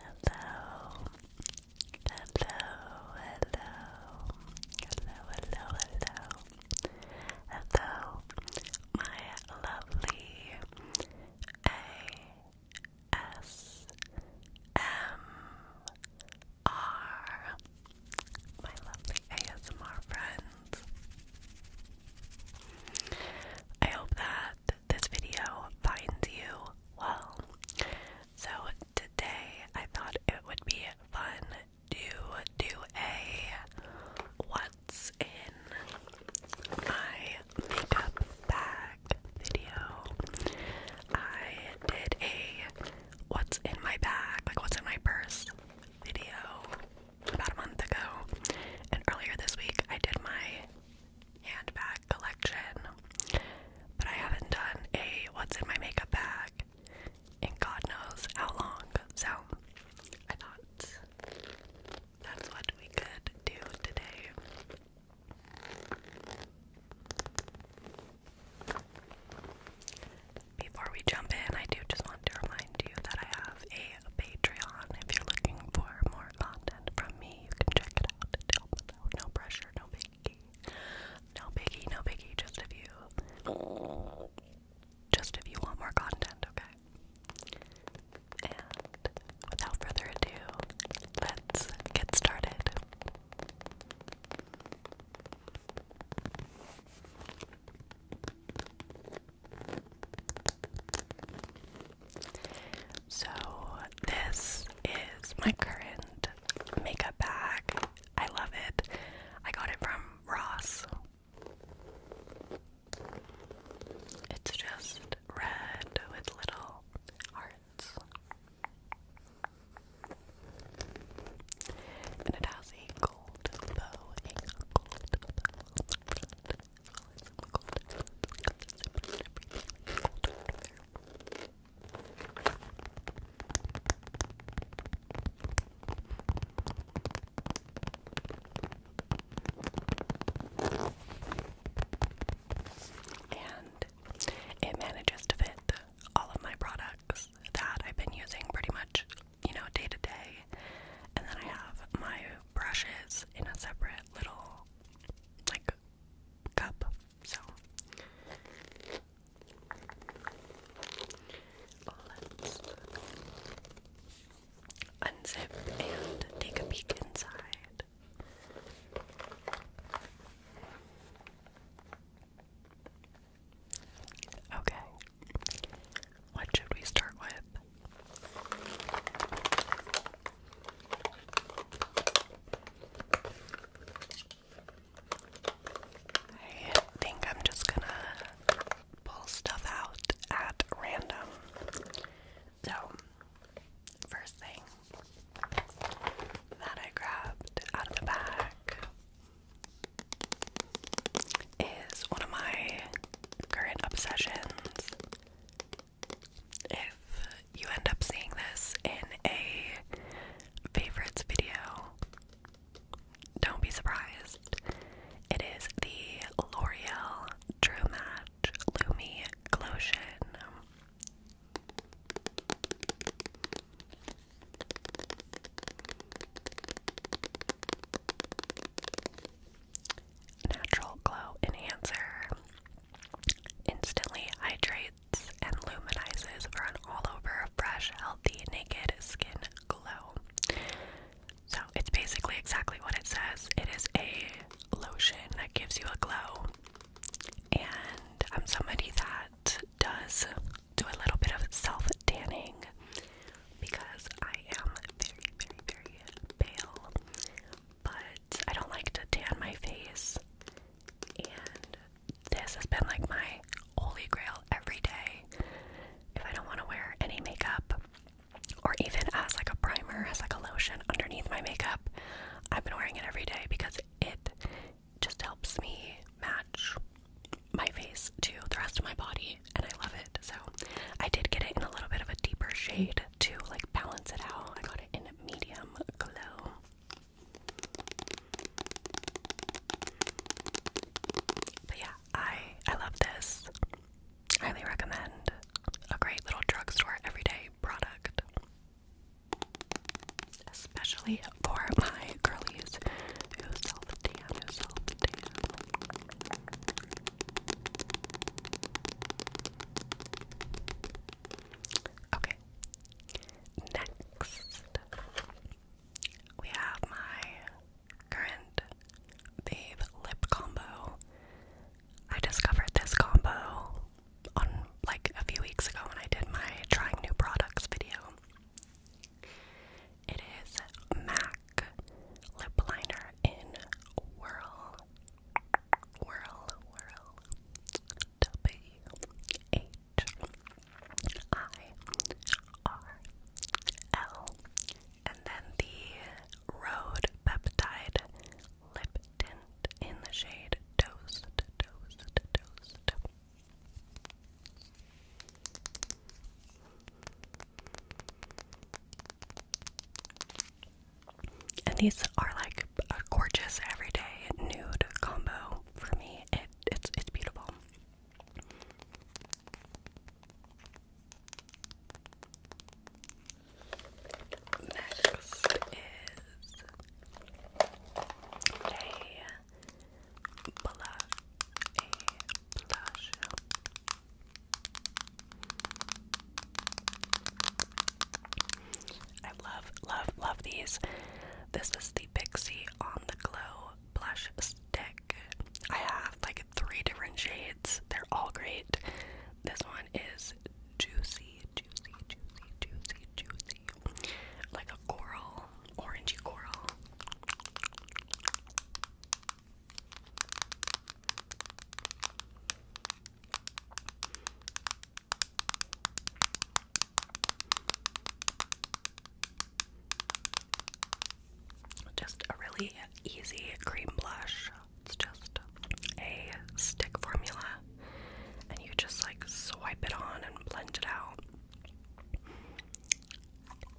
Hello. Hello, hello. Hello, hello, hello. Hello, my lovely ASMR. My lovely ASMR friends. I hope that this video finds you well. So, today I thought it would be fun to do a what's in my makeup bag video. I did a what's in my bag, like what's in my purse video about a month ago, and earlier this week I did my handbag collection, but I haven't done a what's in my makeup bag in God knows how long. So I thought that's what we could do today. Before we jump in, I do just want to remind you that I have a Patreon if you're looking for more content from me. You can check it out. No, pressure, no biggie. No biggie, no biggie. Just if you, just if you want more content, okay. And without further ado, let's get started. So, this is my current makeup bag. I love it. I got it from Ross. It's just red with little hearts. And it has a gold bow, a bow. And it manages to fit all of my products that I've been using pretty much, you know, day to day. And then I have my brushes in a separate little like cup. So let's unzip and take a peek inside. Okay, what should we start with? I think I'm just gonna pull stuff out at random. So, first thing that I grabbed out of the bag is one of my current obsessions if you end up seeing this in a favorites video, don't be surprised. It is the L'Oreal True Match Glow Glotion. Natural Glow Enhancer instantly hydrates and luminizes for an all over fresh, healthy, naked skin glow. So it's basically exactly what it says. It is a lotion that gives you a glow. And I'm somebody that does do a little bit of self tanning because I am very, very, very pale. But I don't like to tan my face, and this has been like my holy grail every day. If I don't want to wear any makeup, or even as like a primer, as like a lotion underneath my makeup, I've been wearing it every day because it just helps me match my face to the rest of my body and I love it. So I did get it in a little bit of a deeper shade to like balance it out. I got it in medium glow. But yeah, I I love this. Highly recommend. A great little drugstore everyday product. Especially for my girlies self-tan, self-tan. Okay. Next, we have my current Babe lip combo. I discovered this combo on like a few weeks ago when I did my trying new products video. It is MAC lip liner in Whirl, Whirl, Whirl, W H I R L, and then the Road Peptide Lip Tint in the shade Toast, Toast, Toast. And these are like a gorgeous everyday nude combo for me. It it's it's beautiful. Next is a blush, I love, love, love these. This is the Pixie on the Glow blush stick. I have like three different shades, they're all great. This one is juicy, juicy, juicy, juicy, juicy. Like a coral, orangey coral. Just a really easy cream blush. It's just a stick formula, and you just like swipe it on and blend it out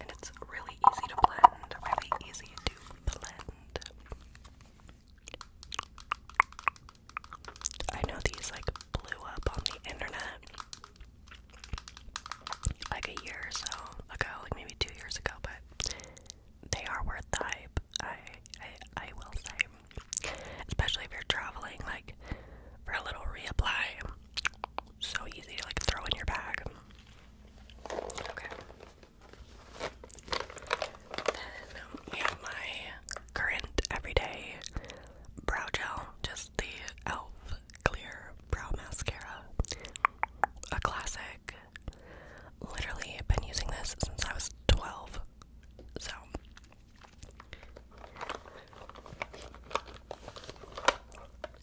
and it's really easy to blend, really easy to blend. I know these like blew up on the internet like a year or so ago, like maybe two years ago, but they are worth the hype. I I, I will say, especially if you're traveling, like for a little reapply, so easy to like throw in your bag. Okay. Then we have my current everyday brow gel, just the e.l.f. Clear Brow Mascara. A classic. Literally been using this since I was 12. So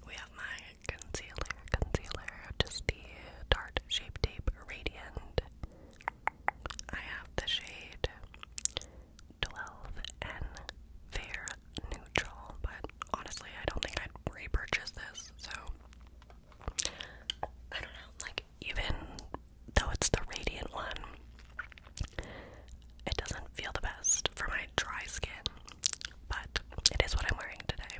we have my concealer, concealer, just the Tarte Shape Tape Radiant. I have the shade 12N Fair Neutral, but honestly, I don't think I'd repurchase this, so I don't know, like, even though it's the Radiant one, it doesn't feel the best for my dry skin but it is what I'm wearing today.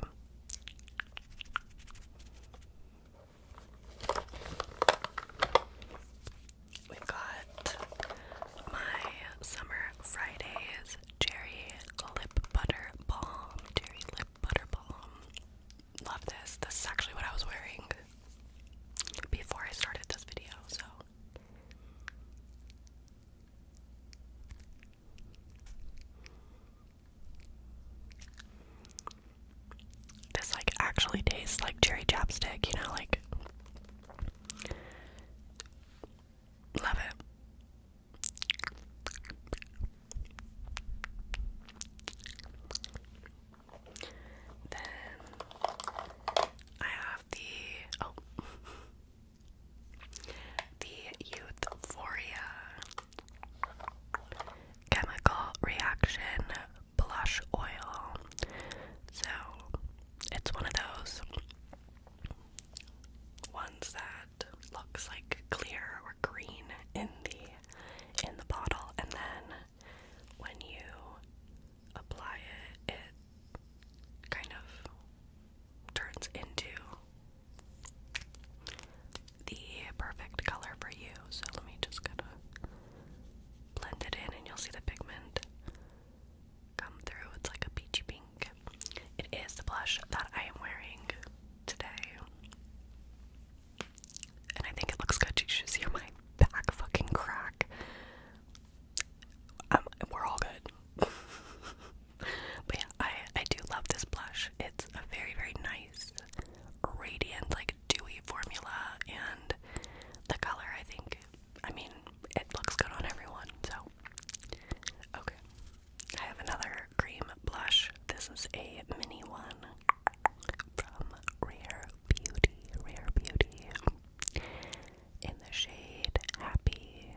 we got my Summer Fridays Cherry Lip Butter Balm. Cherry Lip Butter Balm. Love this. This is actually what I was wearing before I started this video, so this like actually tastes like cherry chapstick, you know, like love it. Then I have the oh The Euphoria Chemical Reaction Blush Oil. So it's one of those ones that looks like clear or green in the in the bottle and then when you apply it it kind of turns into the perfect color for you. So let me just kind of blend it in, and you'll see the pigment come through. It's like a peachy pink. It is the blush that I am wearing today. And I think it looks good. You should see my back fucking crack. Um, we're all good. but yeah, I I do love this blush. It's a very very nice, radiant like dewy formula, and the color I think. I mean, it looks good on everyone. So okay, I have another cream blush. This is a mini one from Rare Beauty. Rare Beauty in the shade Happy.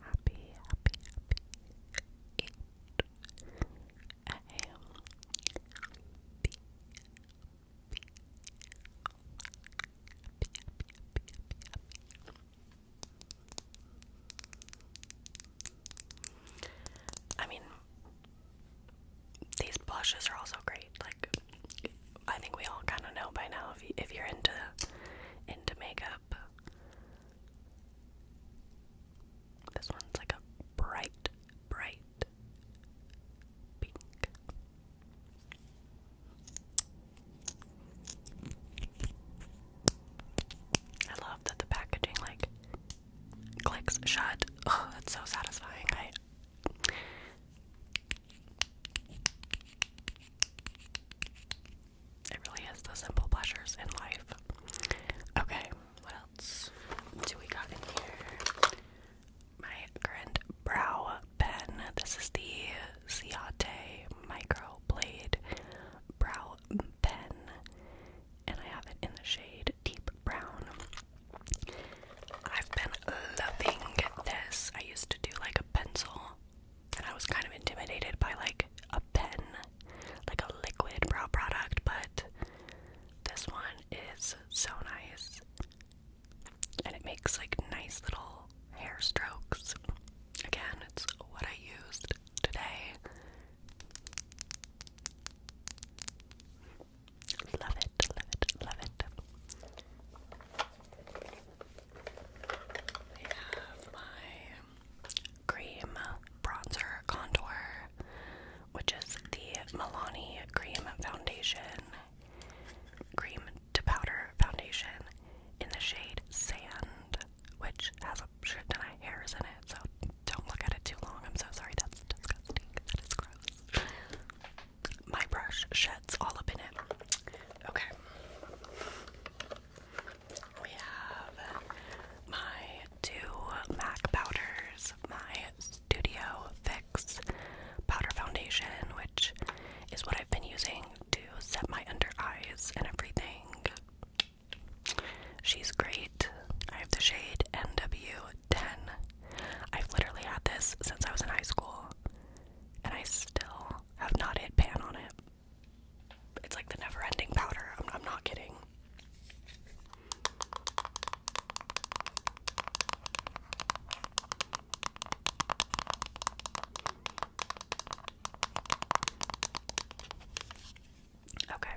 Happy, happy, happy. I mean, these blushes are also great. Like, I think we all kind of know by now if you, if you're into into makeup. This one's like a bright, bright pink. I love that the packaging like clicks shut. Oh, that's so satisfying. It really is the simple pleasures in life. Okay, what else do we got in here? My current brow pen. This is the Ciate Micro Blade Brow Pen, and I have it in the shade Deep Brown. I've been loving this. I used to do like a pencil, and I was kind of intimidated by like a pen, like a liquid brow product, but this one is so nice. And it makes like nice little hair strokes. Again, it's what I used today. Love it, love it, love it. I have my cream bronzer contour, which is the Milani Cream Foundation, cream to powder foundation in the shade Sand, which has a shit ton of hairs in it, so don't look at it too long. I'm so sorry, that's disgusting. That is gross my brush sheds all up in it. Okay. We have my two MAC powders, my Studio Fix powder foundation, which is what I've been using to set my under eyes and everything. She's great. I have the shade NW10 I've literally had this since I was in high school, and I still have not hit pan on it. It's like the never ending powder. I'm, not kidding. Okay.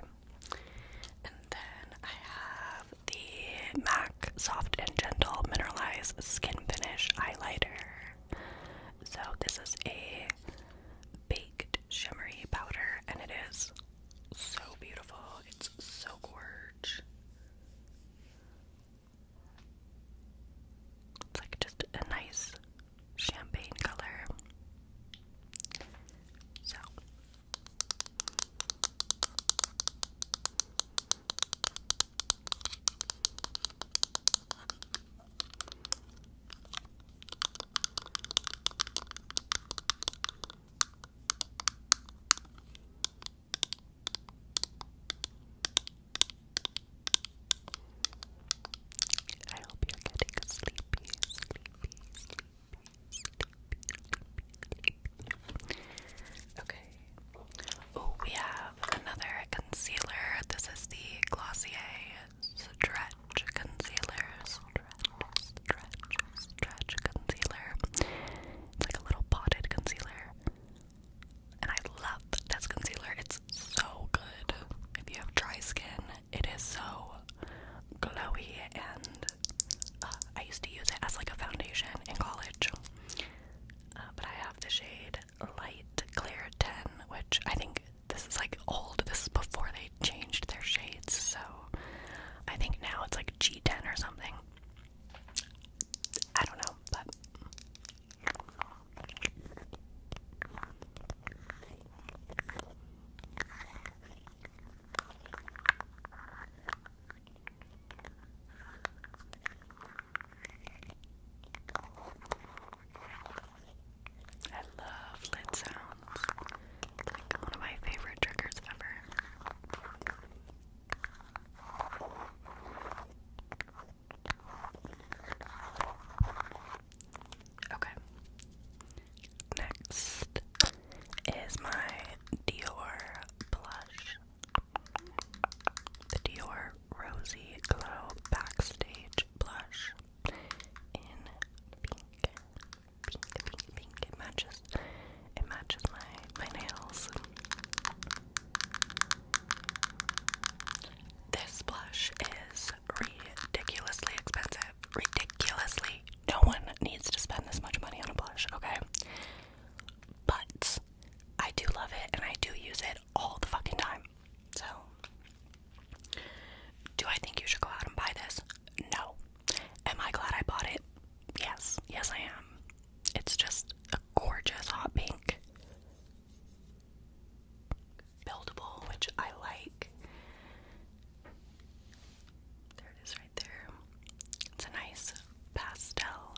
And then I have the MAC Soft and Gentle Mineralized Skin Finish Highlighter. So, this is a baked shimmery powder, and it is so beautiful. It's so gorgeous. It's like just a nice champagne color. So, I hope you're getting sleepy, sleepy, sleepy, sleepy, Okay. Oh, we have another concealer. This is the Glossier Stretch Concealer. Stretch, concealer. It's like a little potted concealer. And I love this concealer. It's so good. If you have dry skin, it is so glowy and I used to use it as like a foundation in college. Uh, but I have the shade Light Clear 10, which I think this is like old. This is before they changed their shades, so I think now it's like G10 or something. I don't know, but. I love lid sounds. Like one of my favorite triggers ever. Okay. Next is my Dior blush. The Dior Rosy Glow Backstage Blush in pink. Pink, pink, pink. It matches it matches my, my nails. This blush is ridiculously expensive. Ridiculously no one needs to spend this much money on a blush, okay? But I do love it and I do use it all the fucking time. So, do I think you should go out and buy this? No. Am I glad I bought it? Yes. Yes, I am. It's just a gorgeous hot pink. Buildable, which I like. There it is right there. It's a nice pastel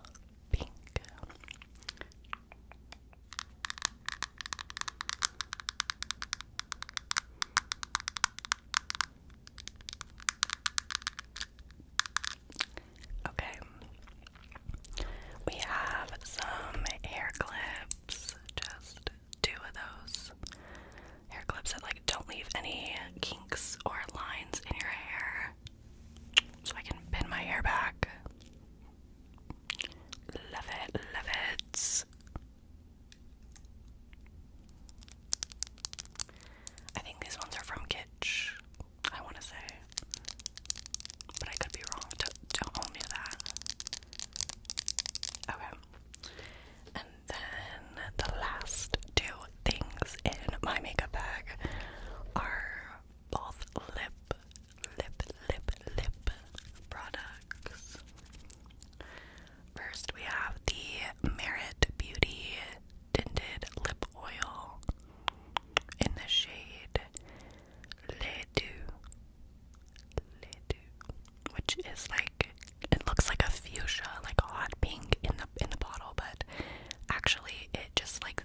pink. Okay, we have some hair clips, just two of those. Hair clips that like don't leave any kinks or lines in your hair. So I can pin my hair back. Love it, love it. I think these ones are from Kitsch, I want to say. But I could be wrong. Don't, do that. Okay. And then the last two things in my makeup bag are both lip, lip, lip, lip products. First, we have the Merit Beauty Tinted Lip Oil in the shade Le Deux, Le Deux, which is like it looks like a fuchsia, like a hot pink in the in the bottle, but actually it just like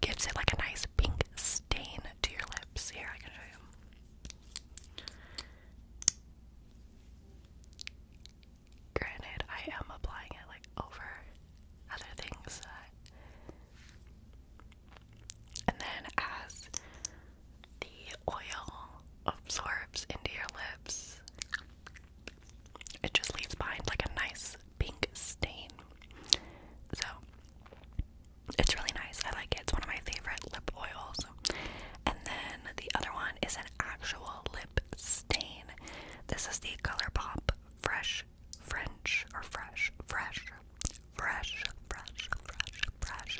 gives it like a nice pink stain to your lips. Here I can show you. Granted, I am applying it like over other things, uh, and then as the oil absorbs into your lips, it just leaves behind like a nice pink stain. So it's really nice. I like it. It's one of my favorite lip oils. And then the other one is an actual lip stain. This is the ColourPop Fresh French or Fresh Fresh Fresh Fresh Fresh Fresh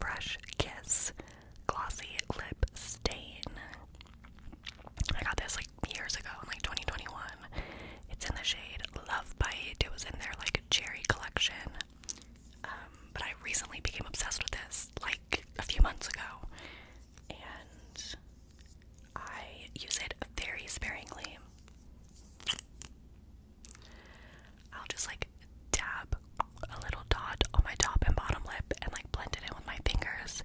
Fresh Kiss glossy lip stain. I got this like years ago in like 2021. It's in the shade Love Bite. It was in their like cherry collection. Um, but I recently became obsessed with this like a few months ago. And I use it very sparingly. I'll just like dab a little dot on my top and bottom lip and like blend it in with my fingers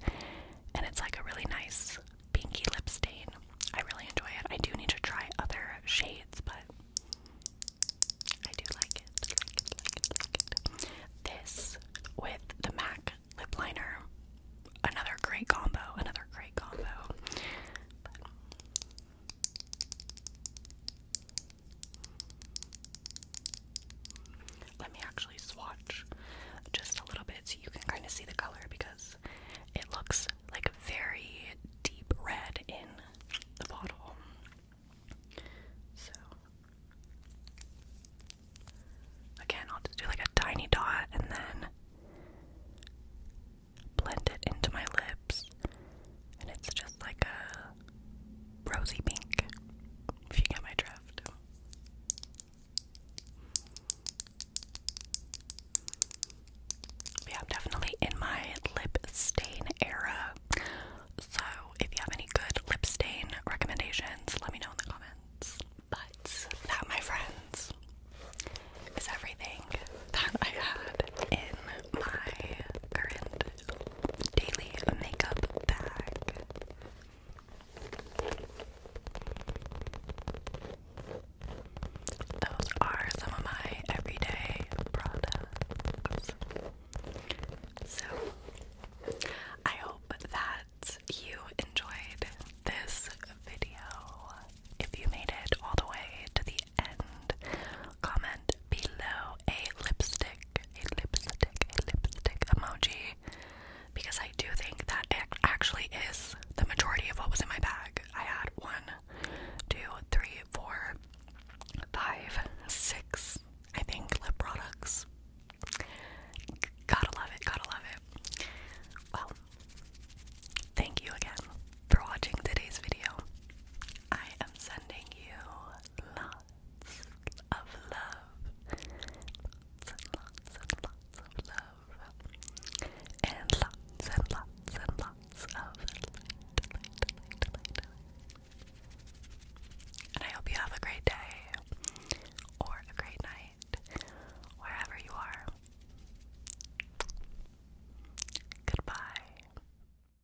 and it's like a really nice pinky lip stain. I really enjoy it. I do need to try other shades, but I do like it. Like like it, like This with the MAC lip liner. Another great combo, another great combo. Let me actually swatch just a little bit so you can kind of see the color because it looks like very deep red in the bottle. So, again, I'll just do like a tiny dot and then blend it into my lips, and it's just like a rosy pink, if you get my drift. Yeah, definitely in my lip stain era. So if you have any good lip stain recommendations, let me know in the comments. But that, my friends, is everything that I had in my current daily makeup bag. Those are some of my everyday products. So, I hope that you enjoyed this video. If you made it all the way to the end, comment below a lipstick, a lipstick, a lipstick emoji because I do think that actually is the majority of what was in my bag. I had one, two, three, four, five, six, I think, lip products. Gotta love it, gotta love it. Well, thank you again for watching today's video. I am sending you lots of love. Lots and lots and lots of love. And lots and lots and lots of light, light, light, light, light. And I hope you have a great day or a great night wherever you are. Goodbye.